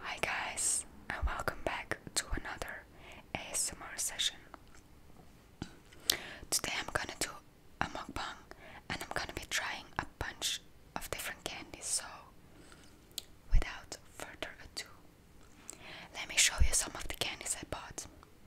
Hi guys and welcome back to another ASMR session. Today I'm gonna do a mukbang and I'm gonna be trying a bunch of different candies so without further ado let me show you some of the candies I bought.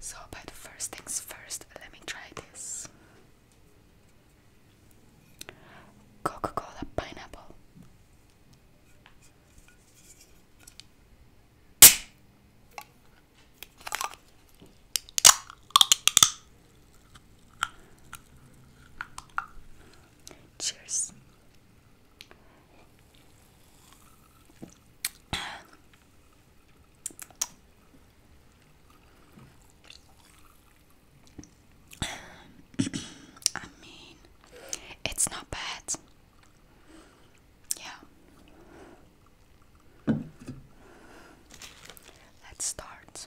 So, but first things first, let me try this Coca Cola pineapple. Cheers. I mean, it's not bad. Yeah. Let's start.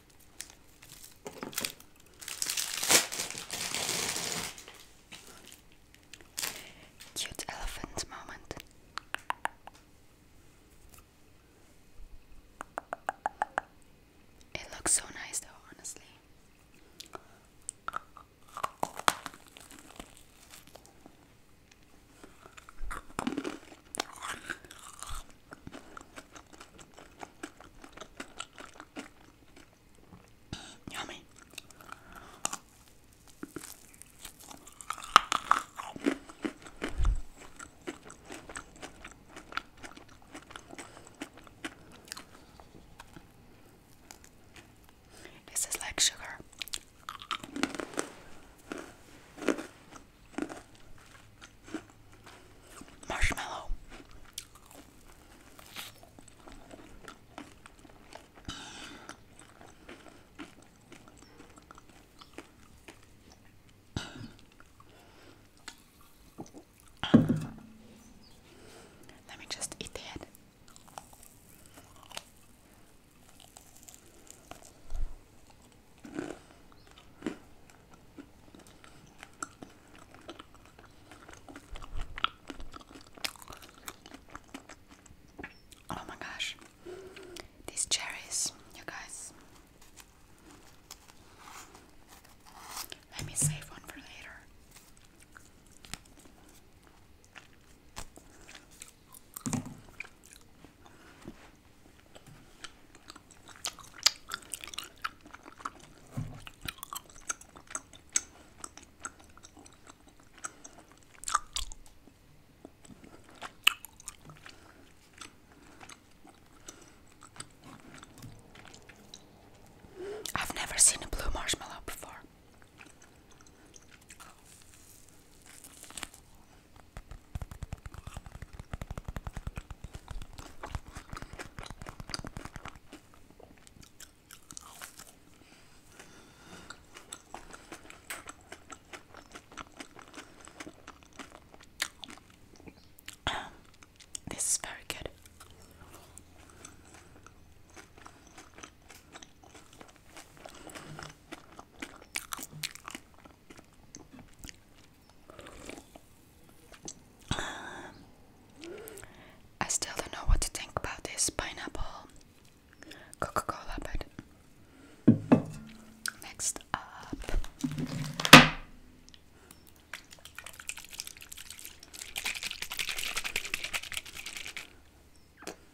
Cute elephant moment. It looks so nice, though, honestly. Yummy. This is like sugar. Marshmallow. Let me just eat that. Oh my gosh, these cherries, you guys. Let me save one for later. I've never seen a blue marshmallow before this is very good. I still don't know what to think about this pineapple Coca Cola, but next up.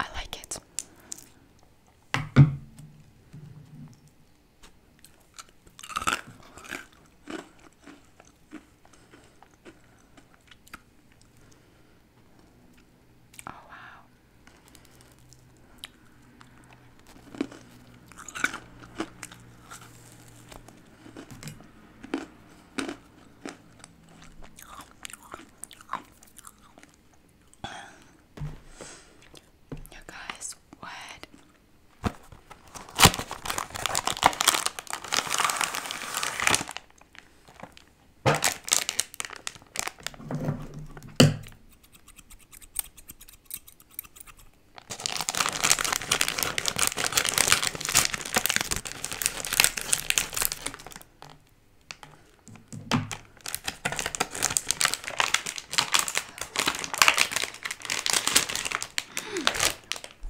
I like it. Oh, wow. You guys, what?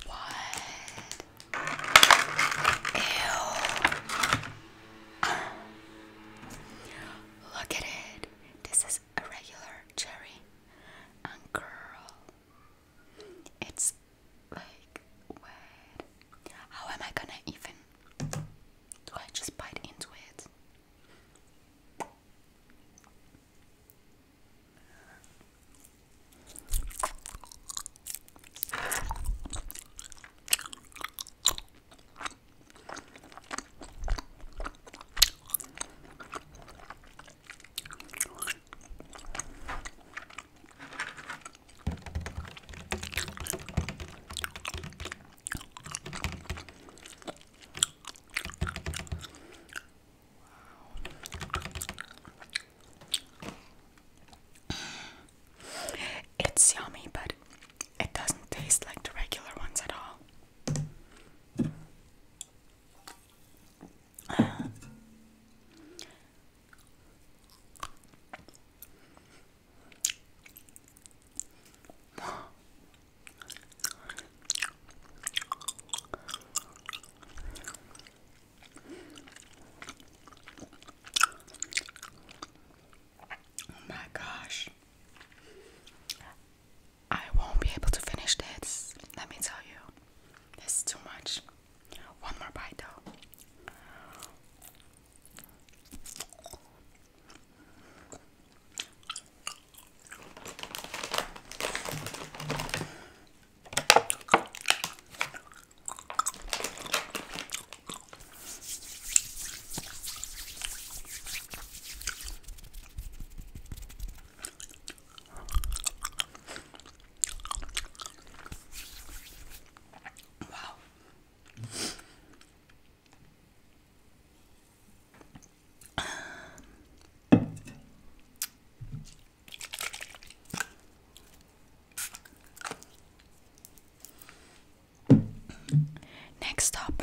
What? Ew. Look at it. This is a regular cherry and girl. It's like where how am I gonna even do I just bite into it? It's yummy, but it doesn't taste like the regular ones at all. Oh my gosh. I won't be able to finish this. Let me tell you. It's too much. One more bite though. Wow. Um, next up.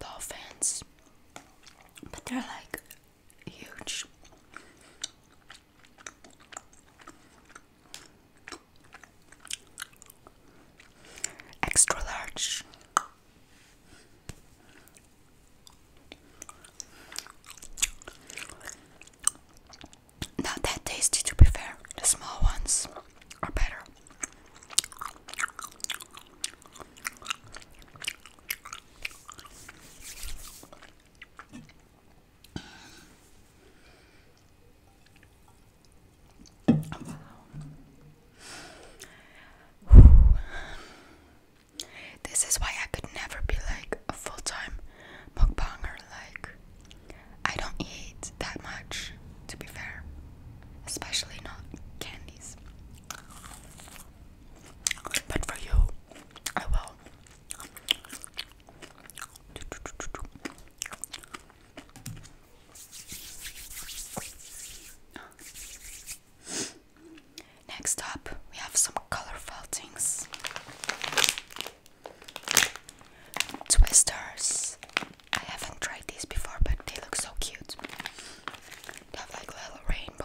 dolphins, but they're like huge. Extra large. Not that tasty, to be fair. The small ones are better. This is why I could never be like a full time mukbanger. Like, I don't eat that much to be fair. Especially not candies. But for you, I will. Next up, we have some colorful things. Twisters. I haven't tried these before, but they look so cute. They have like little rainbow.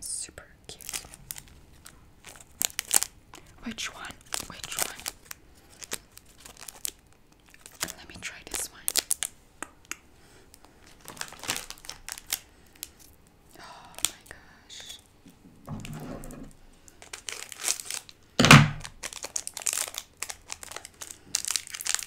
Super cute. Which one? Which one? Let me try this one. Oh my gosh.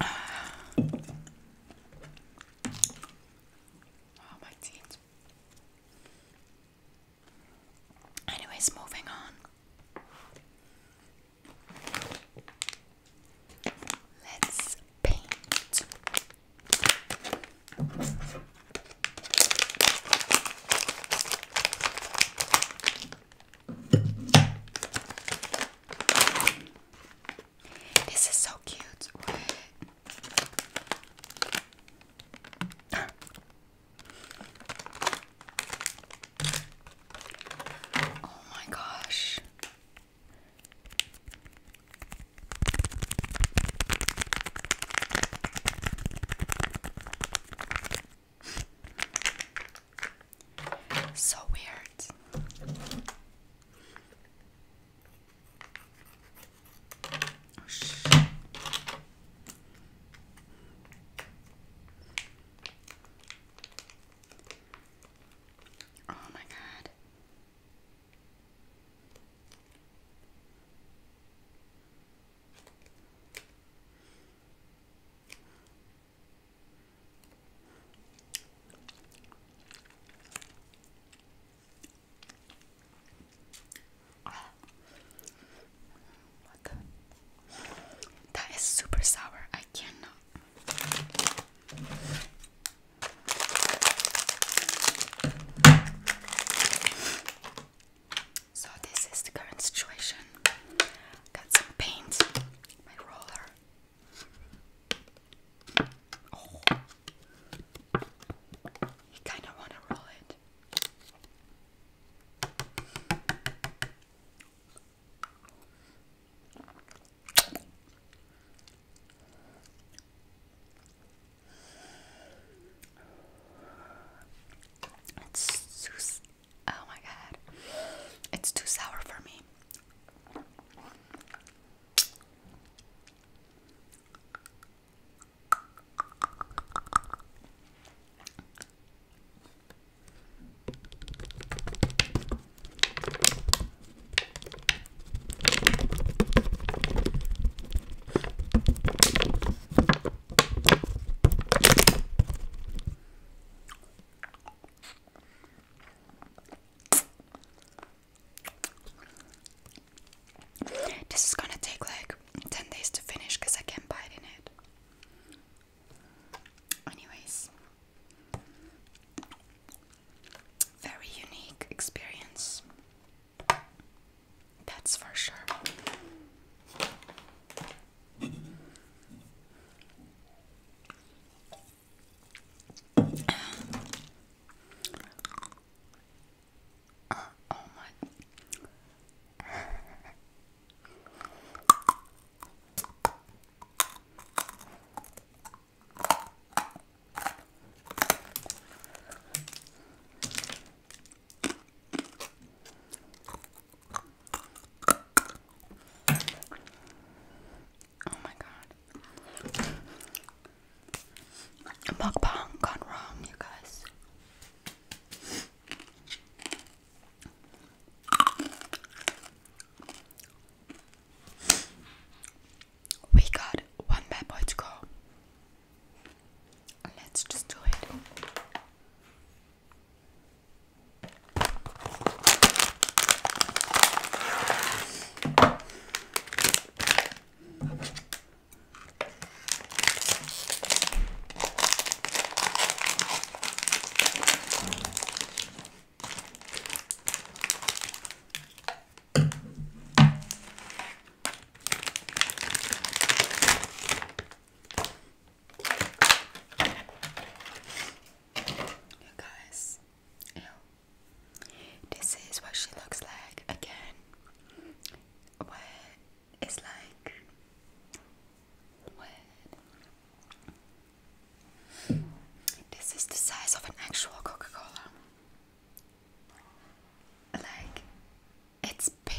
Oh, my teeth. Anyways, moving on. Let's paint. This is so cute. oh my gosh. So weird. Oh, my god. That is super sour. I cannot. So this is the current situation. Got some paint, my roller. Oh, kind of want to roll it. It's so Oh my god. It's too sour for me. This is gonna take like 10 days to finish because I can't bite in it. Anyways, very unique experience. That's for sure. oh, oh my. Oh my god. Mukbang gone wrong, you guys. We got one bad boy to go. Let's just do it guys, This is what she looks like again. What is like what? This is the size of an actual Coca-Cola. Like it's bigger.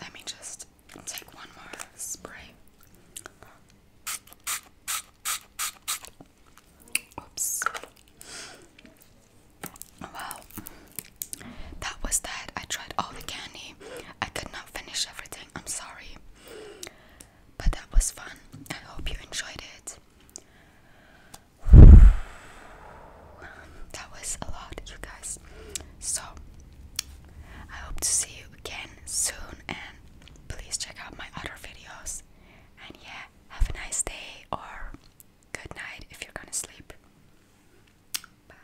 Let me just take one more spray. Oops. Well, that was that. I tried all the candy. I could not finish everything. I'm sorry. But that was fun. I hope you enjoyed it that was a lot, you guys. So, I hope to see you again soon, and please check out my other videos. And yeah, have a nice day or good night if you're gonna sleep. Bye.